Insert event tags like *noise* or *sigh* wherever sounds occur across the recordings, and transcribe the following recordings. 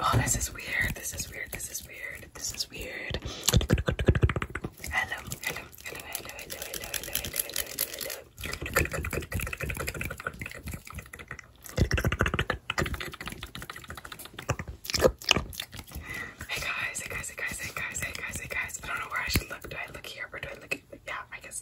Oh, this is weird. This is weird. This is weird. This is weird. Hello, hello, hello, hello, hello, hello, hello, hello, Hey guys, hey guys, hey guys, hey guys, hey guys, hey guys. I don't know where I should look. Do I look here or do I look? Yeah, I guess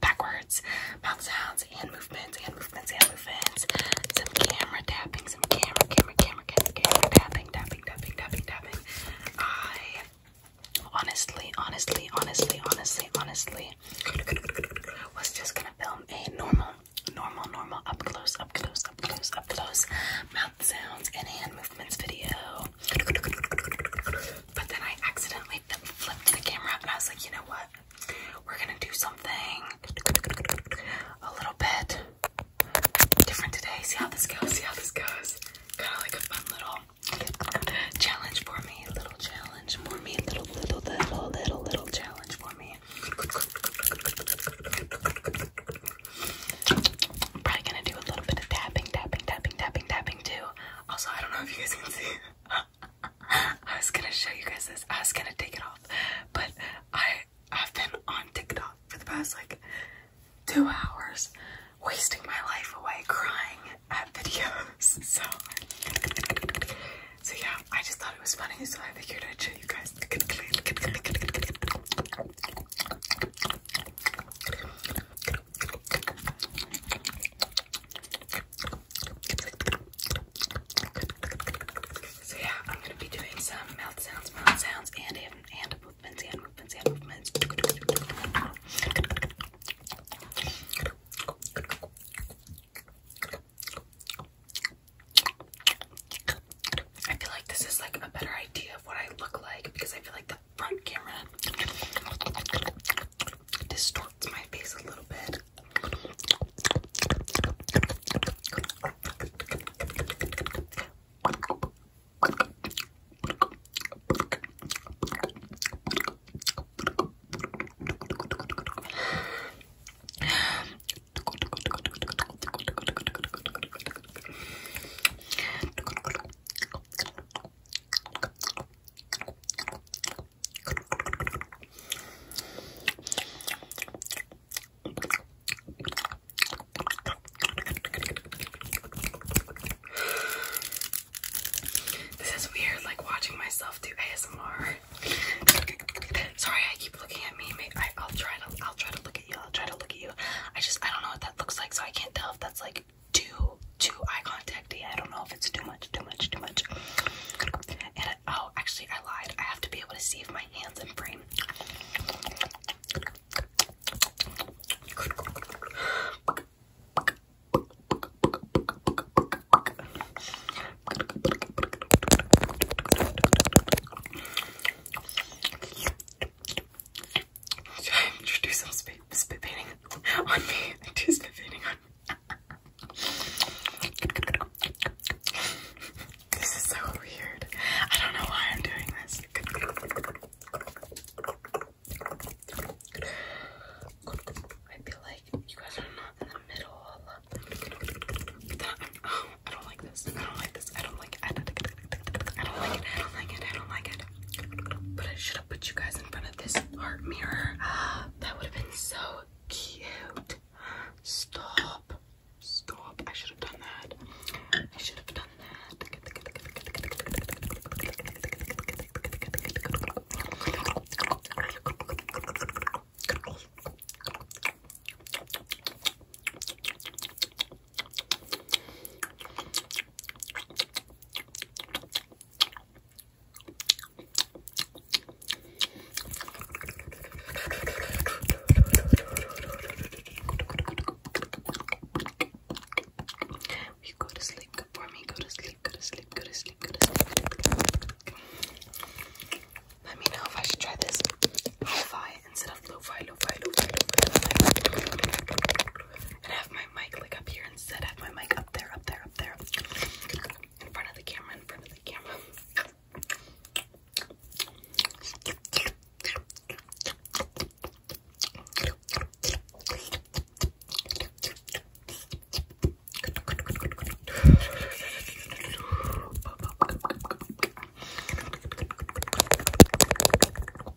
backwards mouth sounds, hand movements, hand movements, hand movements, some camera tapping, some camera, camera, camera, camera, camera tapping, tapping, tapping, tapping, tapping. I honestly, honestly, honestly, honestly, honestly was just gonna film a normal, normal, normal, up close, up close, up close, up close mouth sounds and hand movements video. But then I accidentally flipped the camera and I was like, you know what? We're gonna do something a little bit different today. See how this goes, see how this goes. Kind of like a fun little challenge for me. Little challenge for me. Little, little, little, little, little challenge for me. probably gonna do a little bit of tapping, tapping, tapping, tapping, tapping too. Also, I don't know if you guys can see. I was gonna show you guys this. I was gonna take it off, but I I've been on TikTok for the past like two hours, wasting my life away crying at videos. *laughs* So, so yeah, I just thought it was funny, so I figured I'd show you guys. *laughs* So yeah, I'm gonna be doing some mouth sounds, mouth sounds, and hand movements, hand movements, hand movements. I feel like this is like a better idea of what I look like because I feel like the front camera distorts my face a little bit. This is weird, like watching myself do ASMR. Sorry, I keep looking at me. I'll try to. I'll try to look at you. I'll try to look at you. I just I don't know what that looks like, so I can't tell if that's like too too eye contacty. I don't know if it's too much, too much, too much. oh, actually, I lied. I have to be able to see if my hands in frame. Should *laughs* do spit, painting on me? spit painting on this is so weird. I don't know why I'm doing this. I feel like you guys are not in the middle. I don't like this. I don't like this. I don't like it. I don't like it. I don't like it. But I should have put you guys in front of this art mirror. *gasps* That would have been so cute. Stop. Stop. I should have done that. I should have done that you go to sleep? Good for me. Go to sleep. Go to sleep. Go to sleep. Go to sleep. Let me know if I should try this hi instead of lo-fi, lo-fi, lo-fi, lo-fi, and I have my mic like up here instead. I have my mic up there, up there, up there, in front of the camera, in front of the camera.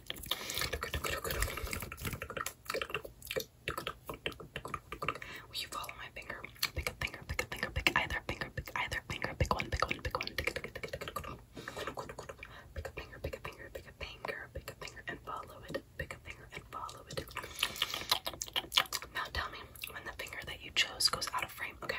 Will you follow my finger? Pick a finger, pick a finger, pick either finger, pick either finger, pick one, pick one, pick one, pick a finger, pick a finger, pick a finger, pick a finger, and follow it. Pick a finger and follow it. Now tell me when the finger that you chose goes out of frame, okay?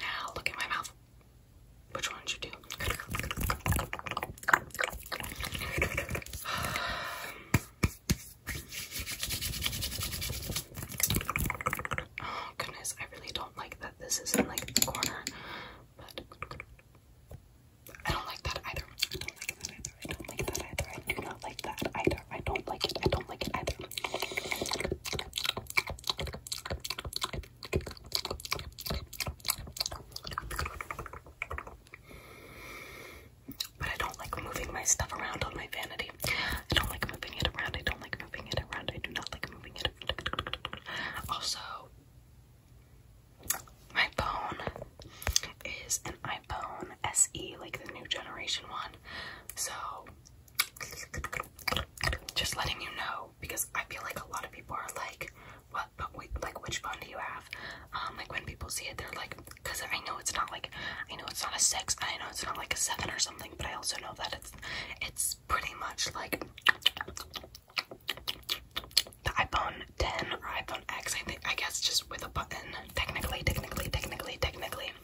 Now look at my mouth. Which one should you do? *sighs* oh goodness, I really don't like that this is in like the corner, but I don't like that either. I don't like that either. I don't like that either. I do not like that either. I don't like it. I don't like it either. But I don't like moving my stuff around on my vanity. I don't like moving it around. I don't like moving it around. I do not like moving it around. Also, my phone is an iPhone SE, like the new generation one. So just letting you know because I feel like a lot of people are like, "What? like, which phone do you have?" Um, like when people see it, they're like, "Cause I know it's not like, I know it's not a six, I know it's not like a seven or something, but I also know that it's, it's pretty much like." The iPhone 10 or iPhone X, I think, I guess, just with a button. Technically, technically, technically, technically.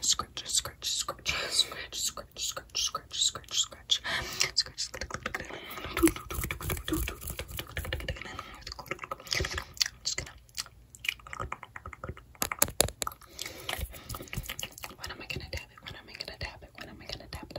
Scratch, scratch, scratch, scratch, scratch, scratch, scratch, scratch, scratch, scratch, I'm just gonna when am I gonna tap it? When am I gonna tap it? When am I gonna tap it?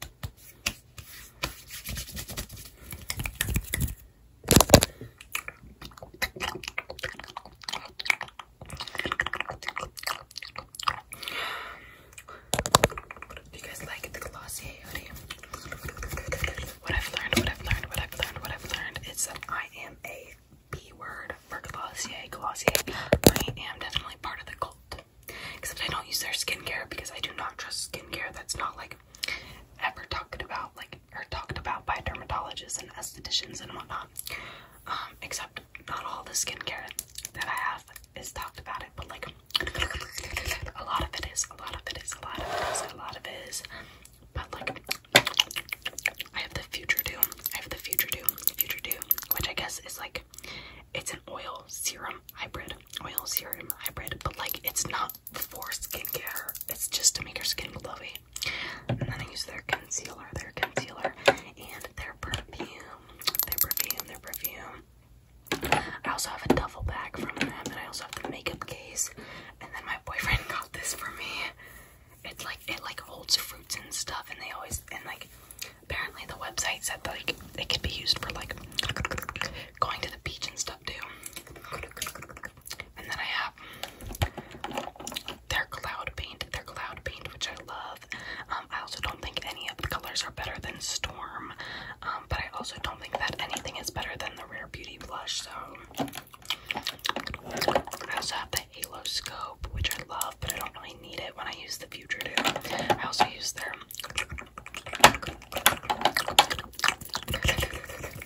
Do you guys like the glossy What I've learned, what I've learned, what I've learned, what I've learned is that I am a B word for Glossier. Glossier, I am definitely part of the cult. Except I don't use their skincare because I do not trust skincare that's not like ever talked about, like, or talked about by dermatologists and estheticians and whatnot. Um, except not all the skincare that I have is talked about it, but like a lot of it is, a lot of it is, a lot of it is, a lot of it is. But like, I have the Future Do, I have the Future Do, Future Do, which I guess is like, it's an oil serum hybrid oil serum hybrid, but like it's not for skincare, it's just to make your skin glowy. And then I use their concealer, their concealer, and their perfume, their perfume, their perfume. I also have a duffel bag from them, and I also have the makeup case. And then my boyfriend *laughs* got this for me. It's like it like holds fruits and stuff, and they always and like apparently the website said like it can be used for like going to the beach and stuff too. And then I have their cloud paint, their cloud paint, which I love. Um, I also don't think any of the colors are better than Storm, um, but I also don't think that anything is better than the Rare Beauty blush. So I also have the Halo Scope, which I love, but I don't really need it when I use the Future. I also use their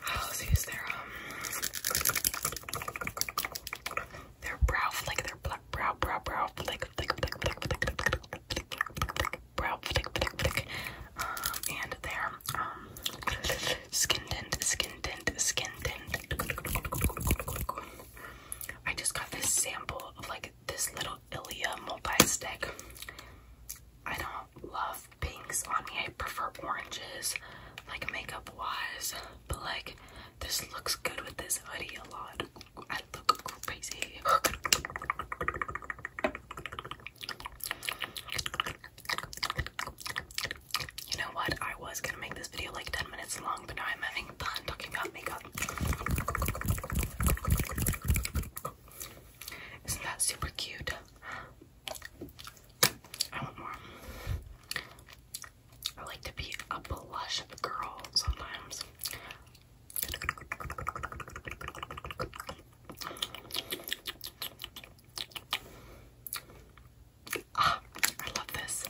I'll use their um their brow flick, their black brow, brow, brow flick, flick, flick, flick, flick, flick, flick, flick, brow flick, flick, flick, and their um skin tint, skin tint, skin tint. I just got this sample of like this little Ilia multi-stick. I don't love pinks on me. I prefer oranges, like makeup-wise. But like, this looks good with this hoodie a lot. I look crazy. You know what? I was gonna make this video like 10 minutes long, but now I'm having talking about makeup. Isn't that super cute? I want more. I like to be a blush girl sometimes. Ah, I love this.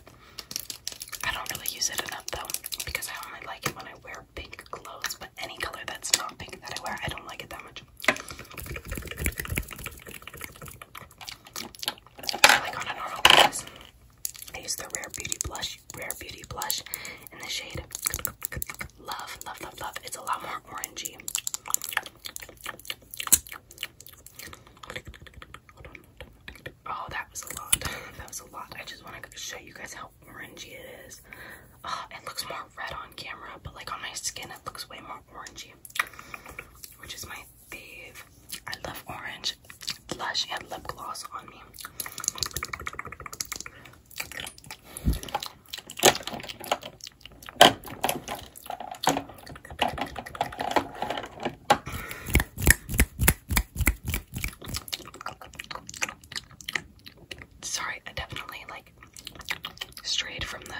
I don't really use it enough though because I only like it when I wear pink clothes, but any color that's not pink that I wear, I don't like it that much. Like on a normal basis, I use the Rare Beauty blush, Rare Beauty blush in the shade Love, Love, Love, Love. It's a lot more orangey. Oh, that was a lot. *laughs* That was a lot. I just want to show you guys how orangey it is. Ah, it looks more red on camera, but like on my skin, it looks way more orangey, which is my fave. I love orange blush and lip gloss on me. Sorry, I definitely like strayed from the,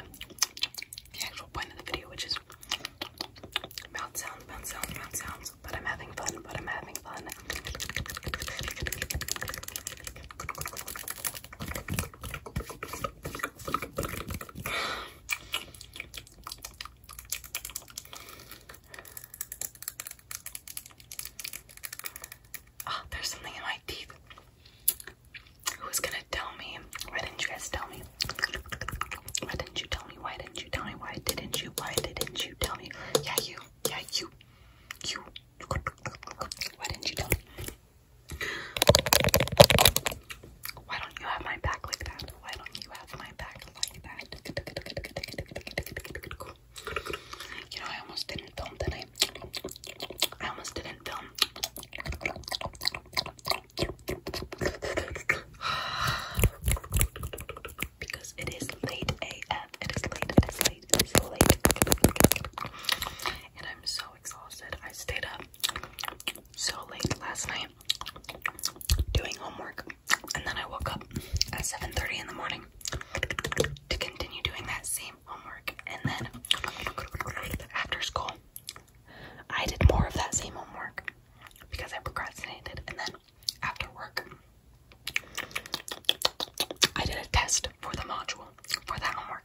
actual point of the video, which is mouth sounds, mouth sounds, mouth sounds. But I'm having fun, but I'm having fun oh, there's something in my teeth. Who's gonna tell me? Why didn't you tell me? Why didn't you tell me? Why didn't you tell me? Why didn't you? Why didn't you tell me? Yeah, you. Yeah, you. You. Why didn't you tell me? Why don't you have my back like that? why don't you have my back like that? You know, I almost didn't film today. I almost didn't film. because it is late AF. It is late, it is late, it is late. And I'm so exhausted. I stayed up so late last night doing homework and then I woke up at 7:30 in the morning to continue doing that same homework. And then after school, I did more of that same homework because I procrastinated. And then after work, I did a test for the module for that homework.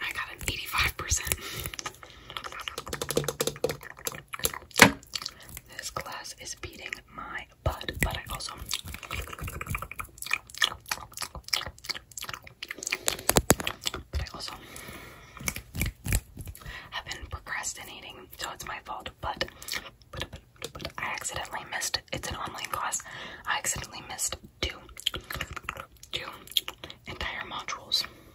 I got an 85%. This class is beating my butt, but I also have been procrastinating, so it's my fault, but but I accidentally missed it's an online class. I accidentally missed two two entire modules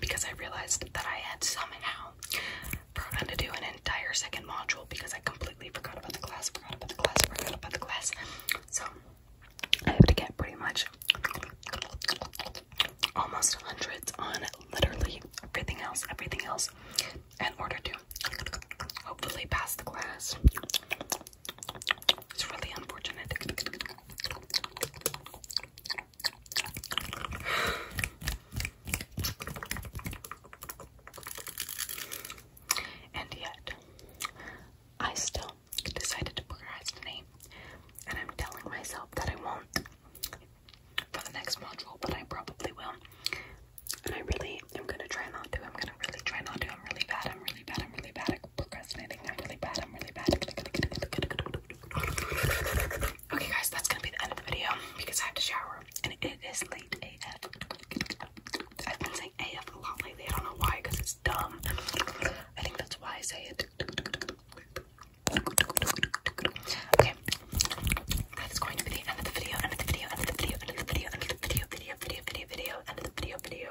because I realized that I had somehow programmed to do an entire second module because I completely forgot about the class, forgot about the class, forgot about the class. So I have to get pretty much almost hundreds on literally everything else, everything else, in order to hopefully pass the class. It's really unfortunate. And yet, I still decided to procrastinate, and I'm telling myself that I won't for the next module, but I probably will. And I really am gonna try not to. I'm gonna really try not to. I'm really bad. I'm really bad. I'm really bad at procrastinating. I'm really bad. I'm really bad. Okay, guys, that's gonna be the end of the video because I have to shower and it is late AF. I've been saying AF a lot lately. I don't know why because it's dumb. I think that's why I say it. Okay, that is going to be the end of the video, end of the video, end of the video, end of the video, end of the video, video, video, video, video, end of the video, video.